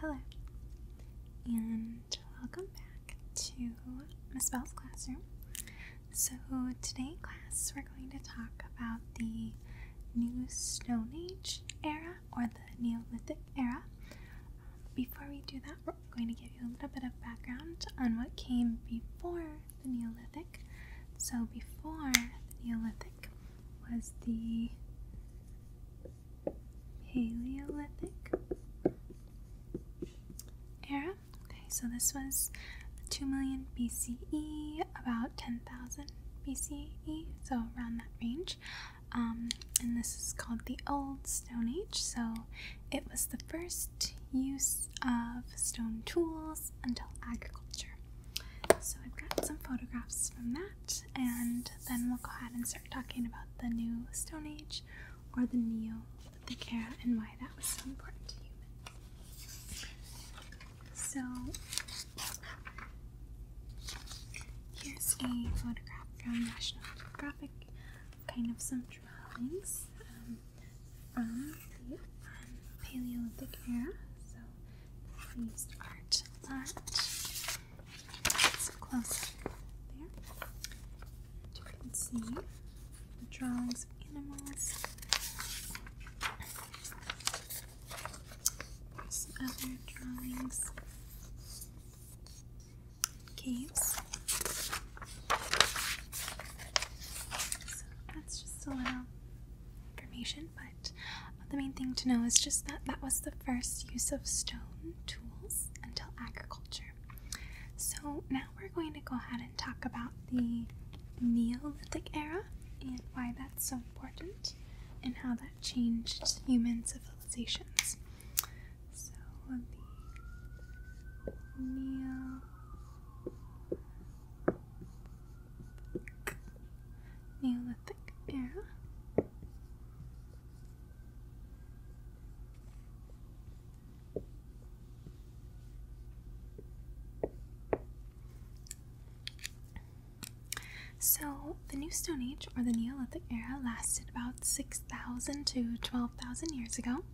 Hello, and welcome back to Miss Bell's classroom. So, today in class, we're going to talk about the New Stone Age era or the Neolithic era. before we do that, we're going to give you a little bit of background on what came before the Neolithic. So, before the Neolithic was the Paleolithic era. Okay, so this was 2 million BCE, about 10,000 BCE, so around that range. Um, and this is called the Old Stone Age, so it was the first use of stone tools until agriculture. So I've got some photographs from that and then we'll go ahead and start talking about the new Stone Age or the Neolithic era, and why that was so important to humans. So, here's a photograph from National Geographic, kind of some drawings um, from the um, Paleolithic era. So, these aren't that. It's close up there. You can see the drawings of animals. Some other drawings. Caves. So that's just a little information, but the main thing to know is just that that was the first use of stone tools until agriculture. So now we're going to go ahead and talk about the Neolithic era and why that's so important and how that changed human civilizations. So the Neolithic Neolithic era. So, the New Stone Age or the Neolithic era lasted about 6,000 to 12,000 years ago.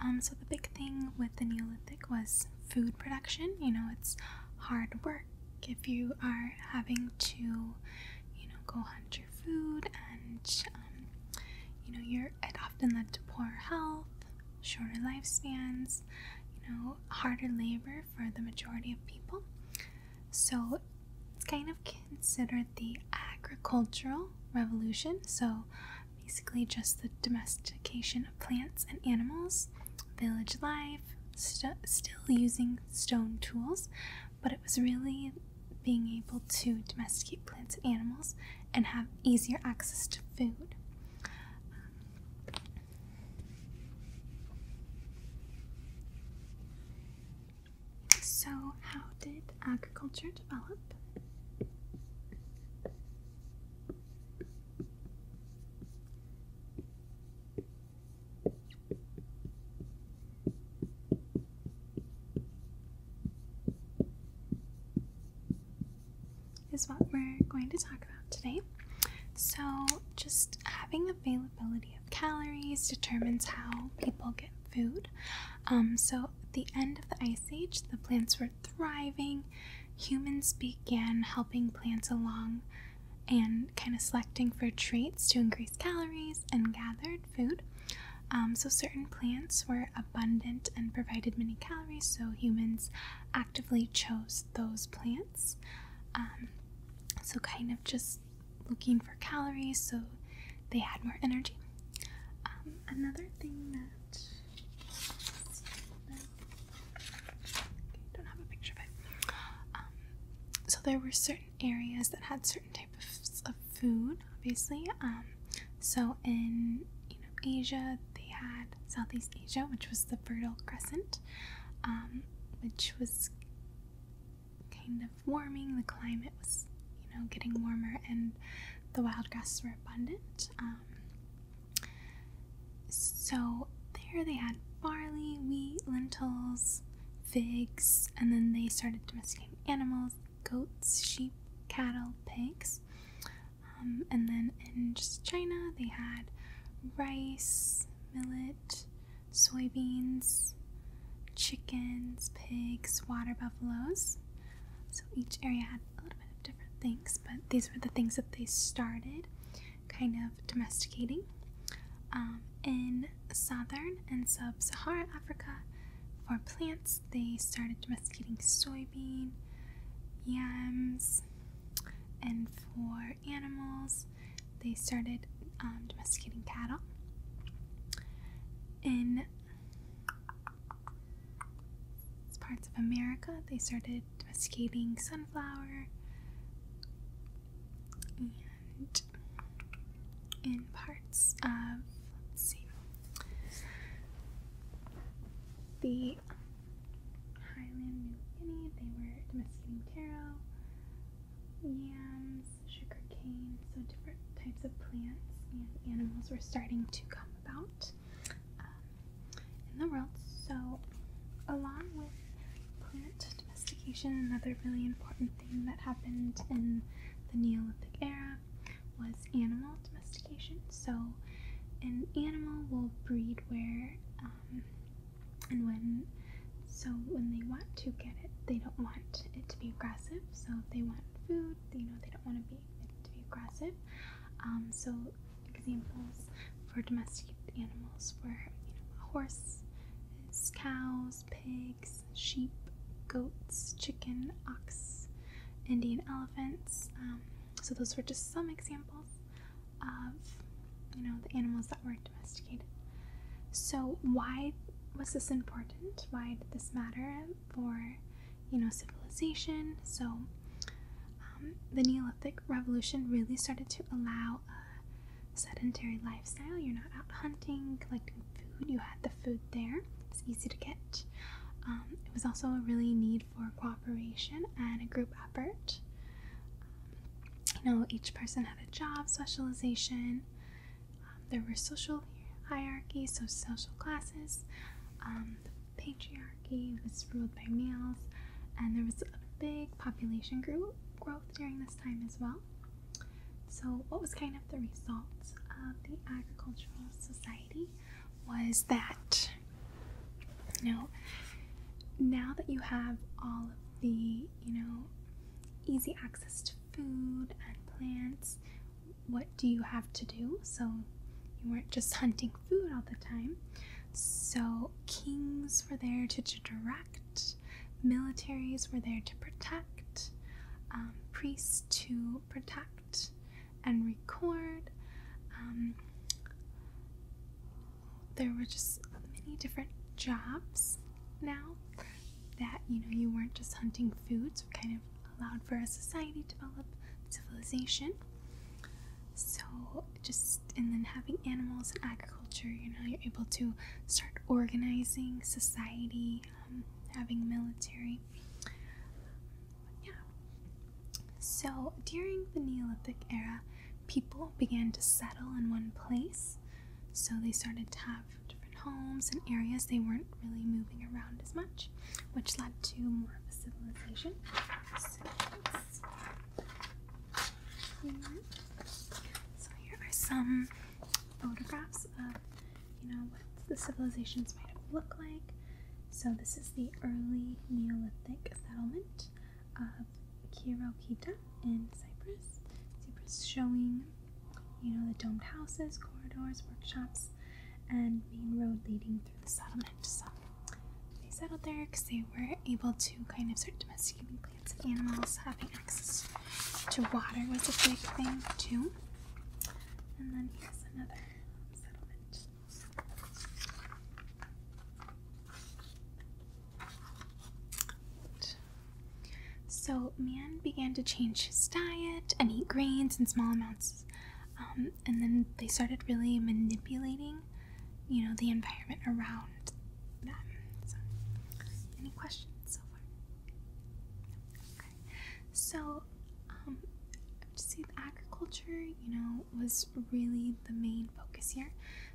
Um, so, the big thing with the Neolithic was food production. You know, it's hard work, if you are having to, you know, go hunt your food and, um, you know, you're it often led to poor health, shorter lifespans, you know, harder labor for the majority of people. So it's kind of considered the agricultural revolution. So basically, just the domestication plants and animals, village life, still using stone tools, but it was really being able to domesticate plants and animals and have easier access to food. so, how did agriculture develop? Is what we're going to talk about today. So, just having availability of calories determines how people get food. Um, so, at the end of the ice age, the plants were thriving, humans began helping plants along and kind of selecting for traits to increase calories and gathered food. Um, so, certain plants were abundant and provided many calories, so humans actively chose those plants. Um, so, kind of just looking for calories so they had more energy. Um, another thing that um, so there were certain areas that had certain types of food, obviously. Um, so in you know Asia, they had Southeast Asia, which was the Fertile Crescent, um, which was kind of warming. The climate was you know getting warmer, and the wild grasses were abundant. So there they had barley, wheat, lentils, figs, and then they started domesticating animals goats, sheep, cattle, pigs. Um, and then in just China, they had rice, millet, soybeans, chickens, pigs, water buffaloes. So each area had a little bit of different things, but these were the things that they started kind of domesticating um, in southern and sub Saharan Africa. For plants, they started domesticating soybean, yams, and for animals, they started um, domesticating cattle. In as parts of America, they started domesticating sunflower, and in parts of let's see the Highland New Guinea, they were domesticating taro, yams, sugar cane, so different types of plants and animals were starting to come about. Um, in the world. So, along with plant domestication, another really important thing that happened in the Neolithic era was animal domestication. So, an animal will breed where um, and when, so when they want to get it, they don't want it to be aggressive. So, if they want food, you know, they don't want to be to be aggressive. Um, so examples for domesticated animals were you know, horses, cows, pigs, sheep, goats, chicken, ox, Indian elephants. Um, so those were just some examples of you know the animals that were domesticated. So why was this important? Why did this matter? for you know civilization so um, the neolithic revolution really started to allow a sedentary lifestyle you're not out hunting collecting food you had the food there it's easy to get um, it was also a really need for cooperation and a group effort um, you know each person had a job specialization there were social hierarchies so social classes the um, patriarchy was ruled by males, and there was a big population grew, growth during this time as well. So, what was kind of the result of the agricultural society was that, you now that you have all of the, you know, easy access to food and plants, what do you have to do so you weren't just hunting food all the time so kings were there to direct militaries were there to protect um, priests to protect and record um, there were just many different jobs now that you know you weren't just hunting food so kind of allowed for a society to develop, civilization. So, just and then having animals and agriculture, you know, you're able to start organizing society, um, having military. Yeah. So, during the Neolithic era, people began to settle in one place. So, they started to have different homes and areas they weren't really moving around as much, which led to more of a civilization. So, here are some photographs of, you know, what the civilizations might have like. So this is the early Neolithic settlement of Kirokita in Cyprus. Cyprus showing you know, the domed houses, corridors, workshops, and main road leading through the settlement. So they settled there because they were able to kind of start domesticating plants and animals. Having access to water was a big thing, too. And then here's another settlement. So, man began to change his diet and eat grains in small amounts. Um, and then they started really manipulating, you know, the environment around them. So, any questions so far? Okay. So, just um, see, agriculture, you know, was really the main focus here.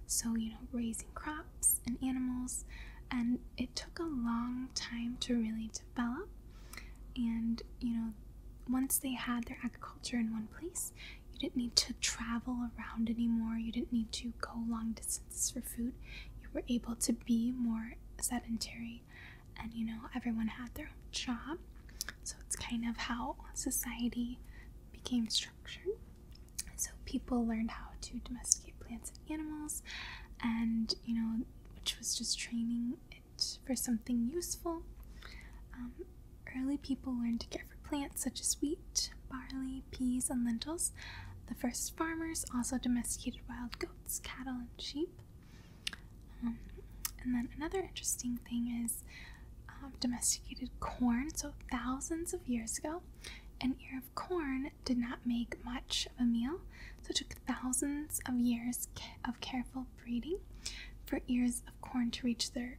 So, you know, raising crops and animals, and it took a long time to really Develop, And, you know, once they had their agriculture in one place, you didn't need to travel around anymore. You didn't need to go long distances for food. You were able to be more sedentary. And, you know, everyone had their own job. So it's kind of how society became structured. So people learned how to domesticate plants and animals. And, you know, which was just training it for something useful. Um, early people learned to care for plants such as wheat, barley, peas, and lentils. The first farmers also domesticated wild goats, cattle, and sheep. Um, and then another interesting thing is um, domesticated corn. So, thousands of years ago, an ear of corn did not make much of a meal. So, to thousands of years of careful breeding for ears of corn to reach their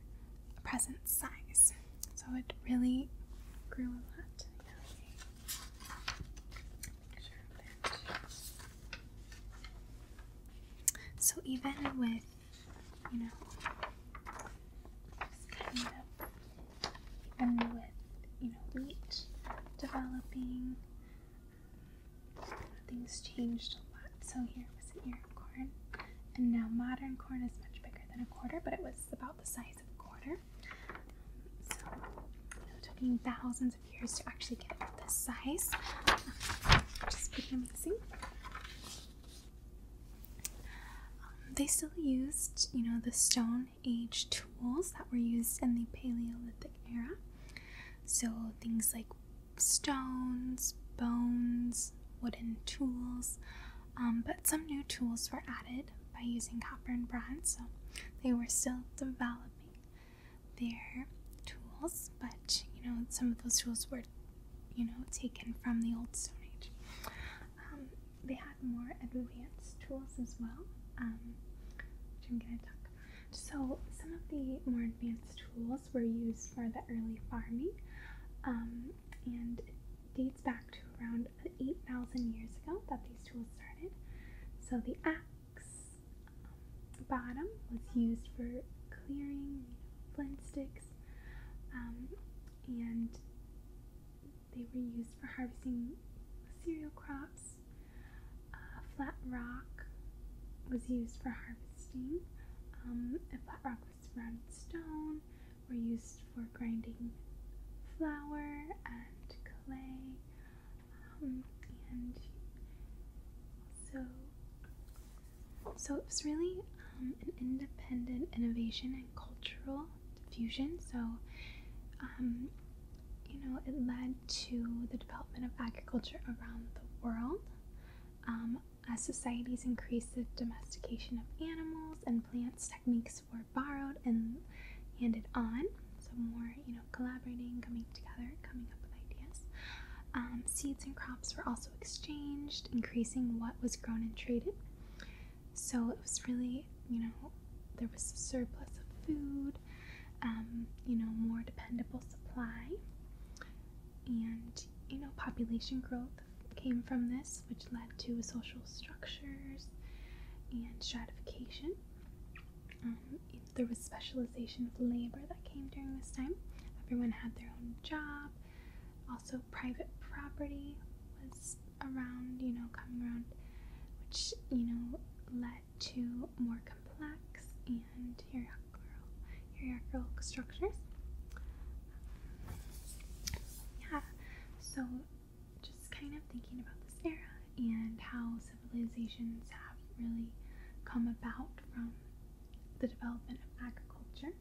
present size. So it really grew a lot. So even with, you know, even with you know wheat developing, um, things changed a lot. So here was an ear of corn, and now modern corn is much bigger than a quarter, but it was about the size of a quarter. So you know, it took me thousands of years to actually get it this size, which is pretty amazing. Um, they still used, you know, the stone Age tools that were used in the Paleolithic era. So, things like stones, bones, wooden tools, um, but some new tools were added by using copper and bronze, so they were still developing their tools, but you know, some of those tools were, you know, taken from the old Stone Age. Um, they had more advanced tools as well, um, which I'm gonna talk. So some of the more advanced tools were used for the early farming, um, and dates back to around 8,000 years ago that these tools started. So the axe um, bottom was used for clearing flint sticks, and they were used for harvesting cereal crops. Uh, flat rock was used for harvesting. Um, flat rock with surrounded stone were used for grinding flour and clay. Um, and so, so it was really um, an independent innovation and cultural fusion. So, um, you know, it led to the development of agriculture around the world. Um, as societies increased the domestication of animals and plants, techniques were borrowed and handed on. So more, you know, collaborating, coming together, coming up with ideas. Um, seeds and crops were also exchanged, increasing what was grown and traded. So it was really, you know, there was a surplus of food, um, you know, more dependable supply, and, you know, population growth came from this, which led to social structures and stratification. Um, there was specialization of labor that came during this time. Everyone had their own job. Also, private property was around, you know, coming around, which, you know, led to more complex and hierarchical structures. Yeah, so just kind of thinking about this era and how civilizations have really come about from the development of agriculture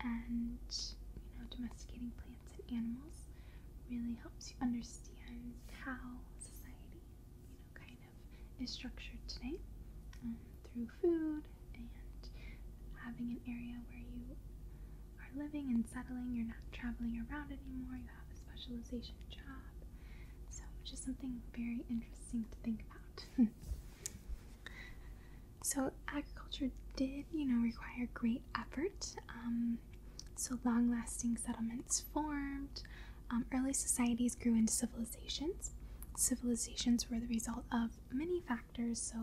and, you know, domesticating plants and animals really helps you understand how society, you know, kind of is structured today um, through food and having an area where you are living and settling. You're not traveling around anymore. You have a specialization job. So, which is something very interesting to think about. so, agriculture did you know, require great effort. Um, so long lasting settlements formed. Um, early societies grew into civilizations. Civilizations were the result of many factors, so,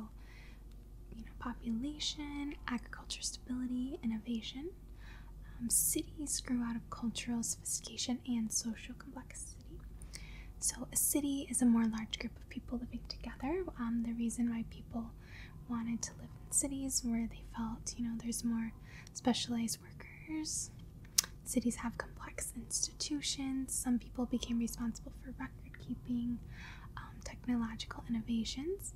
you know, population, agriculture stability, innovation. Um, cities grew out of cultural sophistication and social complexity. So, a city is a more large group of people living together. the reason why people wanted to live in cities where they felt, you know, there's more specialized workers. Cities have complex institutions. Some people became responsible for record keeping, um, technological innovations,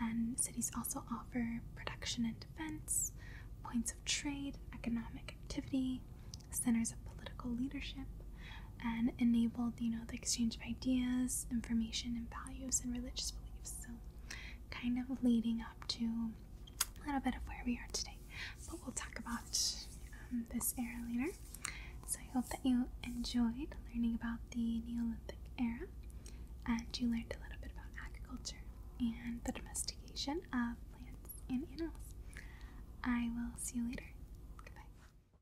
and cities also offer production and defense, points of trade, economic activity, centers of political leadership, and enabled you know the exchange of ideas information and values and religious beliefs so kind of leading up to a little bit of where we are today but we'll talk about um, this era later so i hope that you enjoyed learning about the neolithic era and you learned a little bit about agriculture and the domestication of plants and animals i will see you later goodbye